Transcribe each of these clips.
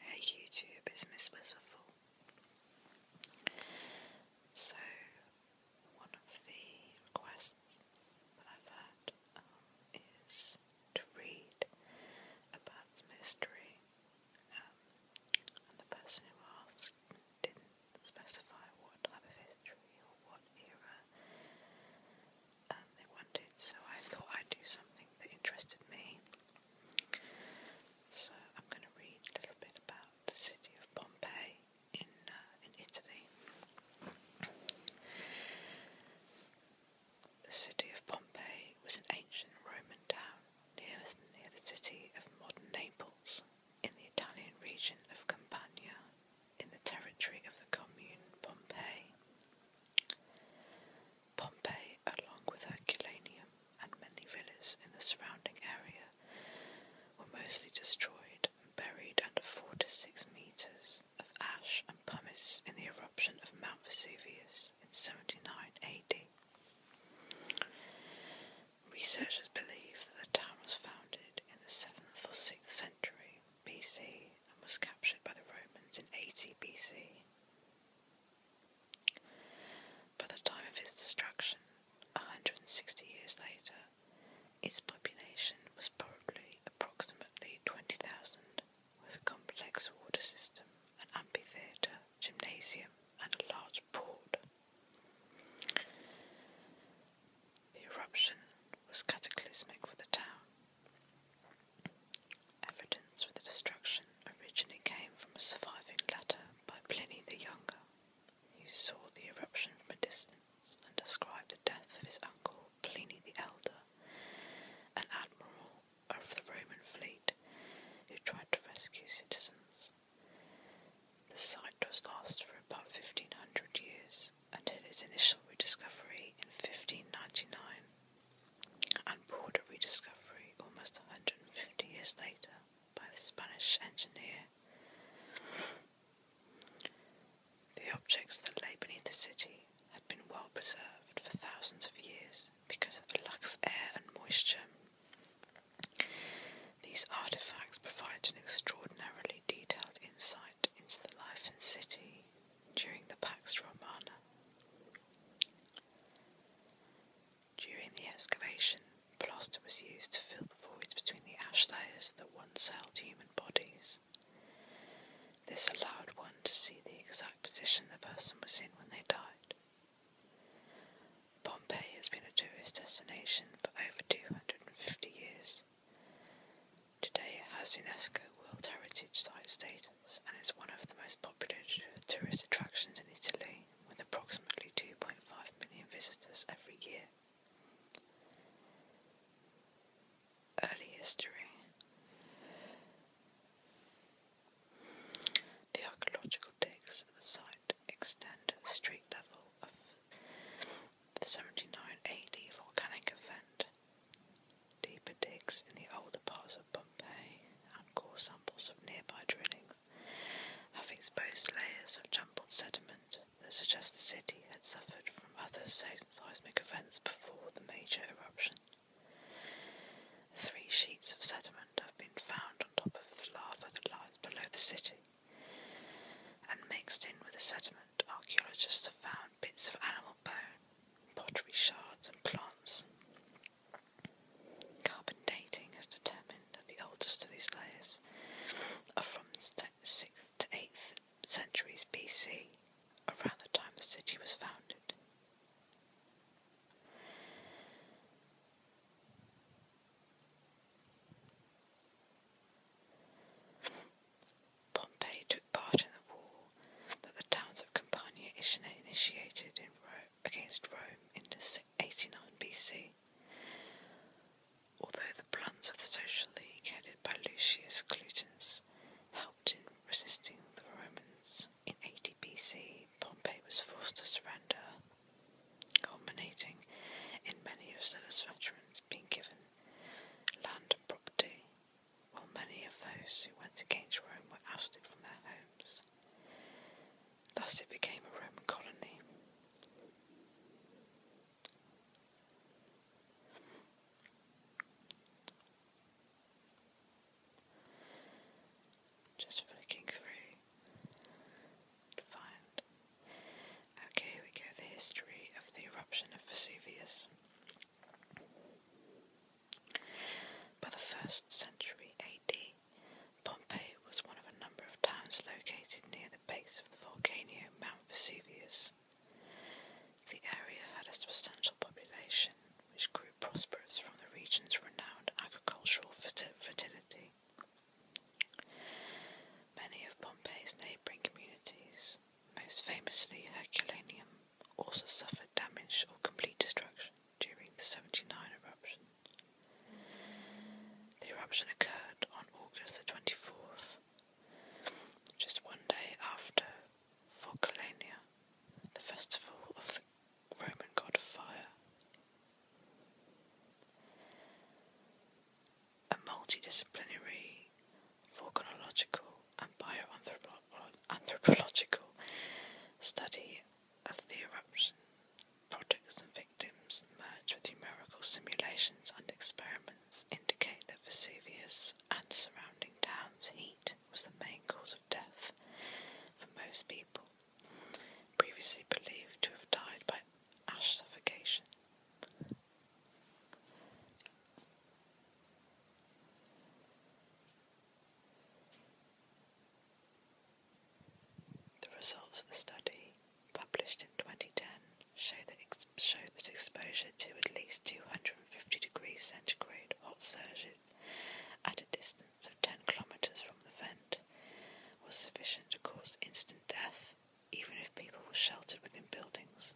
Her YouTube is Miss Wistful. So, one of the requests that I've had um, is to read a Bath um, and the person who asked didn't specify what type of history or what era um, they wanted, so I thought I'd do something that interested me. So I'm going to read a little bit about the city of Pompeii in uh, in Italy. The city of Pompeii was an ancient Roman town near, near the city of modern Naples in the Italian region of Campania in the territory of the commune Pompeii. Pompeii, along with Herculaneum and many villas in the surrounding area, were mostly destroyed and buried under four to six meters of ash and pumice in the eruption of Mount Vesuvius in 79 AD. Researchers believe that the town was founded in the 7th or 6th century BC and was captured by the Romans in 80 BC. By the time of its destruction, 160 years later, its population was probably approximately 20,000, with a complex water system, an amphitheatre, gymnasium, and a large port. The eruption was cataclysmic for the town Evidence for the destruction originally came from a surviving letter by Pliny the Younger, who saw the eruption from a distance and described the death of his uncle Pliny the Elder, an admiral of the Roman fleet who tried to rescue citizens. The site was lost for about 1500 years until its initial rediscovery in 1599 and border rediscovery almost 150 years later by the Spanish engineer. The objects that lay beneath the city had been well preserved for thousands of years because of the lack of air and moisture. These artifacts provide an extraordinarily detailed insight into the life in city during the Pax Romana. During the excavation, plaster was used to fill the voids between the ash layers that once held human bodies. This allowed one to see the exact position the person was in when they died. Pompeii has been a tourist destination for over 250 years, Today, it has UNESCO World Heritage Site status and is one of the most popular tourist attractions in Italy, with approximately 2.5 million visitors every year. Early history. The archaeological digs at the site extend to the street level of the 79 AD volcanic event Deeper digs in the older parts of Pompeii and core samples of nearby drillings have exposed layers of jumbled sediment that suggest the city had suffered from other seismic events before the major eruption. Three sheets of sediment have been found on top of the lava that lies below the city, and mixed in with the sediment, archaeologists have found bits of animal bone pottery shards, and plants. Carbon dating has determined that the oldest of these layers are from 6th to 8th centuries BC, around the time the city was founded. Pompey took part in the war, but the towns of Campania initiated in Rome, against Rome in 89 BC. Although the plans of the Social League, headed by Lucius Clutinus, helped in resisting the Romans, in 80 BC Pompey was forced to surrender, culminating in many of Sylla's veterans being given land and property while many of those who went against Rome were ousted from their homes. Thus it became a Roman colony. Just flicking through to find. Okay, we go the history of the eruption of Vesuvius. By the 1st century AD, Pompeii was one of a number of towns located near the base of the volcano Mount Vesuvius. The area had a substantial population, which grew prosperous from the region's renowned agricultural fertility. Many of Pompeii's neighbouring communities, most famously Herculaneum, also suffered damage or complete destruction during the 79 eruptions. The eruption occurred on August the 24th, just one day after Forcalania, the festival of the Roman god of fire. A multidisciplinary for chronological and bioanthropological study of the eruption. Products and victims merged with numerical simulations and experiments indicate that Vesuvius and surrounding towns' heat was the main cause of death for most people, previously believed to have died by ash suffocation. The results of the study, published in 2010, show that, that exposure to at least 250 degrees centigrade hot surges at a distance of 10 kilometres from the vent was sufficient to cause instant death, even if people were sheltered within buildings.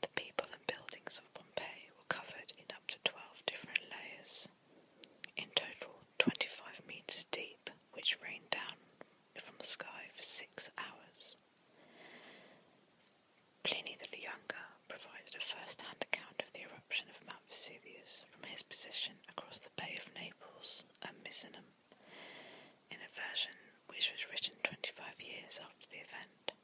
The people and buildings of Pompeii were covered in up to 12 different layers, in total 25 meters deep, which rained down from the sky for six hours. Pliny the Younger provided a first hand account of the eruption of Mount Vesuvius from his position across the Bay of Naples and Misenum in a version which was written 25 years after the event.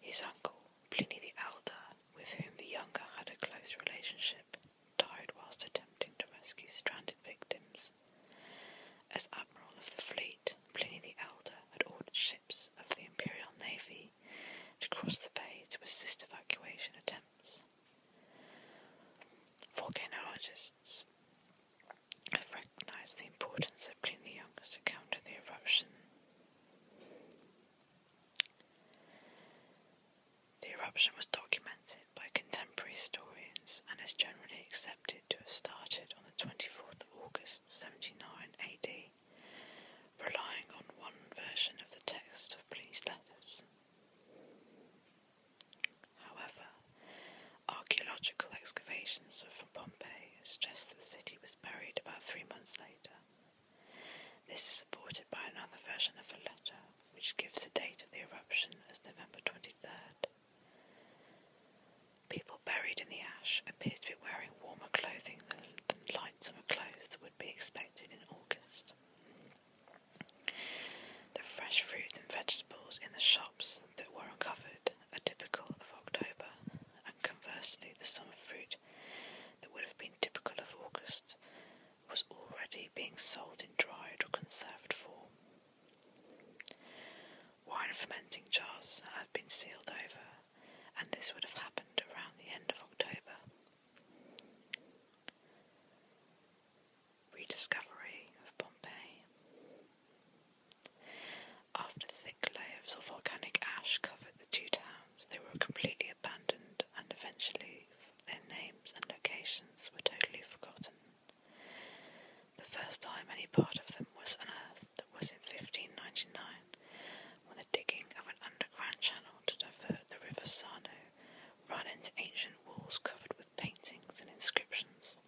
His uncle, Pliny the Elder, with whom the younger had a close relationship, died whilst attempting to rescue stranded victims. As Admiral of the Fleet, Pliny the Elder had ordered ships of the Imperial Navy to cross the bay to assist evacuation attempts. Volcanologists I have recognised the importance of Pliny the Younger's account of the eruption. The eruption was documented by contemporary historians and is generally accepted to have started on the 24th of August 79 AD, relying on one version of the text of Pliny's letters. However, archaeological excavations from Pompeii suggest that the city was buried about three months later. This is supported by another version of a letter which gives the date of the eruption as November 23rd. People buried in the ash appear to be wearing warmer clothing than, than light summer clothes that would be expected in August. The fresh fruits and vegetables in the shops that were uncovered are typical of October, and conversely, the summer fruit that would have been typical of August was already being sold in dried or conserved form. Wine fermenting jars had been sealed over, and this would have happened around the end of October rediscovery of Pompeii. After thick layers of volcanic ash covered the two towns, they were completely abandoned and eventually their names and locations were totally forgotten. The first time any part of them was unearthed was in 1599 when the digging of an underground channel to divert the river Sano ran into ancient walls covered with paintings and inscriptions.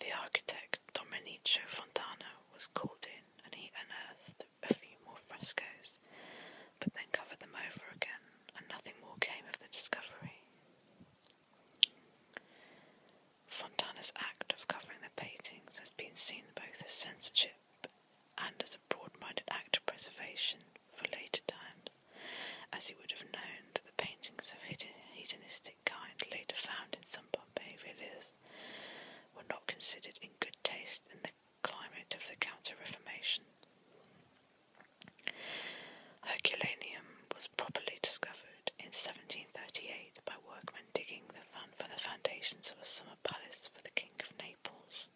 The architect Domenico Fontana was called in and he unearthed a few more frescoes, but then covered them over again, and nothing more came of the discovery. Fontana's act of covering the paintings has been seen both as censorship and as a broad minded act of preservation, for later times, as he would have known that the paintings of hedonistic kind later found in some Pompeii villas were not considered in good taste in the climate of the Counter Reformation. Herculaneum was properly discovered in 1738 by workmen digging the for the foundations of a summer palace for the King of Naples.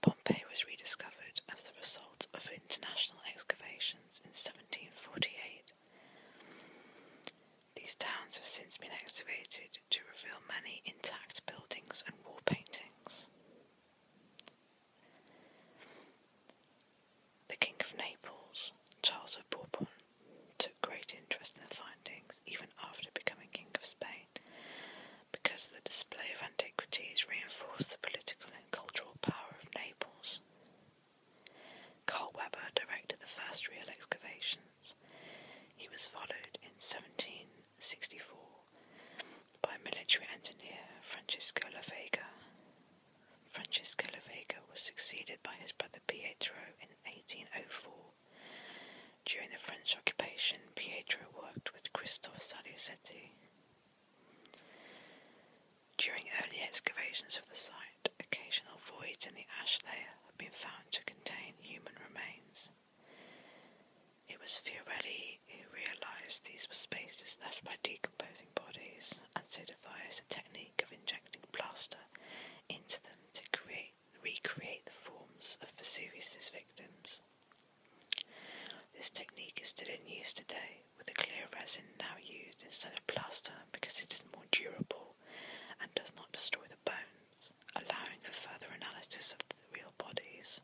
Pompeii was rediscovered as the result of international excavations in 1748. These towns have since been excavated to reveal many intact buildings and wall paintings. The King of Naples, Charles of Bourbon, took great interest in the findings even after becoming King of Spain because the display of antiquities reinforced the political and cultural power of Naples. Carl Weber directed the first real excavations. He was followed in 1764 by military engineer Francesco La Vega. Francesco La Vega was succeeded by his brother Pietro in 1804. During the French occupation, Pietro worked with Christophe Salucetti. During early excavations of the site, occasional voids in the ash layer have been found to contain human remains. It was Fiorelli who realised these were spaces left by decomposing bodies and so devised a technique of injecting plaster into them to create, recreate the forms of Vesuvius's victims. This technique is still in use today, with a clear resin now used instead of plaster because it is more durable and does not destroy the bones, allowing for further analysis of the real bodies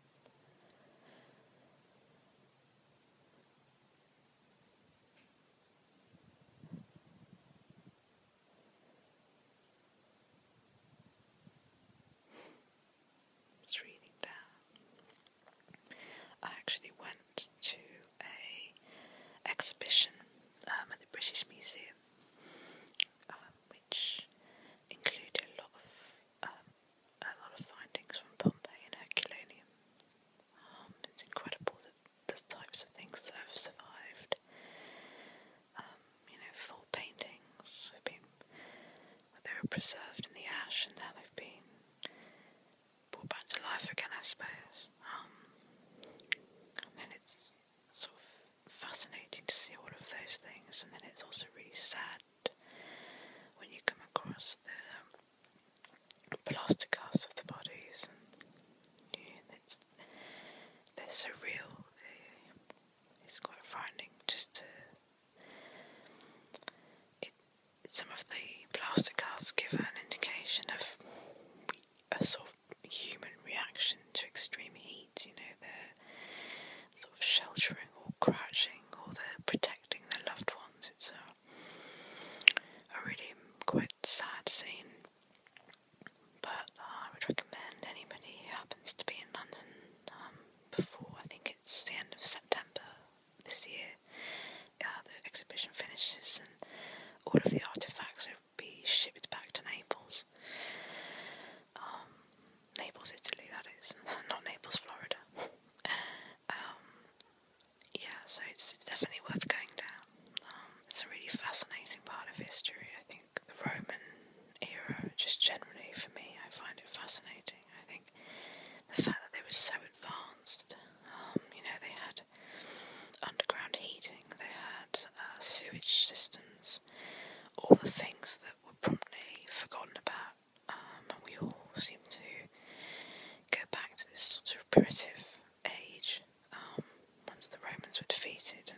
reading down. I actually went to a exhibition um, at the British Museum, uh, which included a lot of um, a lot of findings from Pompeii and Herculaneum. Um, it's incredible that the types of things that have survived. you know, full paintings they were preserved in the ash, and there they've been brought back to life again, I suppose. Um, and then it's sort of fascinating to see all of those things, and then it's also really sad when you come across the plaster casts of the bodies, and yeah, it's they're so real. It's quite frightening just to some of the plaster cards give an indication of a sort of human reaction to extreme heat. You know, they're sort of sheltering or crouching, or they're protecting their loved ones. It's a, really quite sad scene. But uh, I would recommend anybody happens to be in London um, before, I think it's the end of September this year, uh, the exhibition finishes and all of the artifacts will be shipped back to Naples. Um, Naples, Italy, that is, not Naples, Florida. Um, yeah, so it's, it's definitely worth going down. Um, it's a really fascinating part of history, I think. The Roman era, just generally for me, I find it fascinating. I think the fact that they were so advanced, um, you know, they had underground heating, they had uh, sewage systems, all the things that were promptly forgotten about, um, and we all seem to go back to this sort of primitive age um, once the Romans were defeated,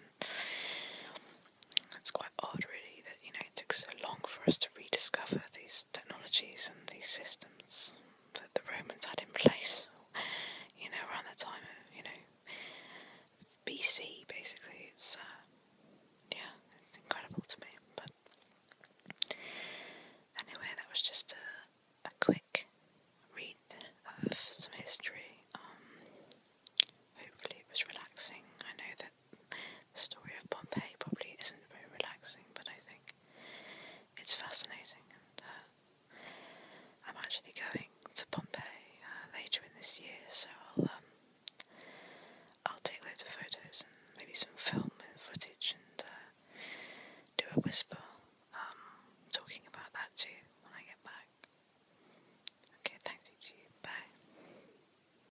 it's quite odd, really, that you know it took so long for us to rediscover these technologies and these systems that the Romans had in place. You know, around the time of you know BC, basically. It's uh, yeah, it's incredible to me. But anyway, that was just a, a quick read of some history. Um, hopefully, it was relaxing. I know that the story of Pompeii probably isn't very relaxing, but I think it's fascinating, and uh, I'm actually going to Pompeii uh, later in this year, so I'll um, I'll take loads of photos and maybe some film and footage, and uh, do a whisper um, talking about that too when I get back. Okay, thanks you. Bye.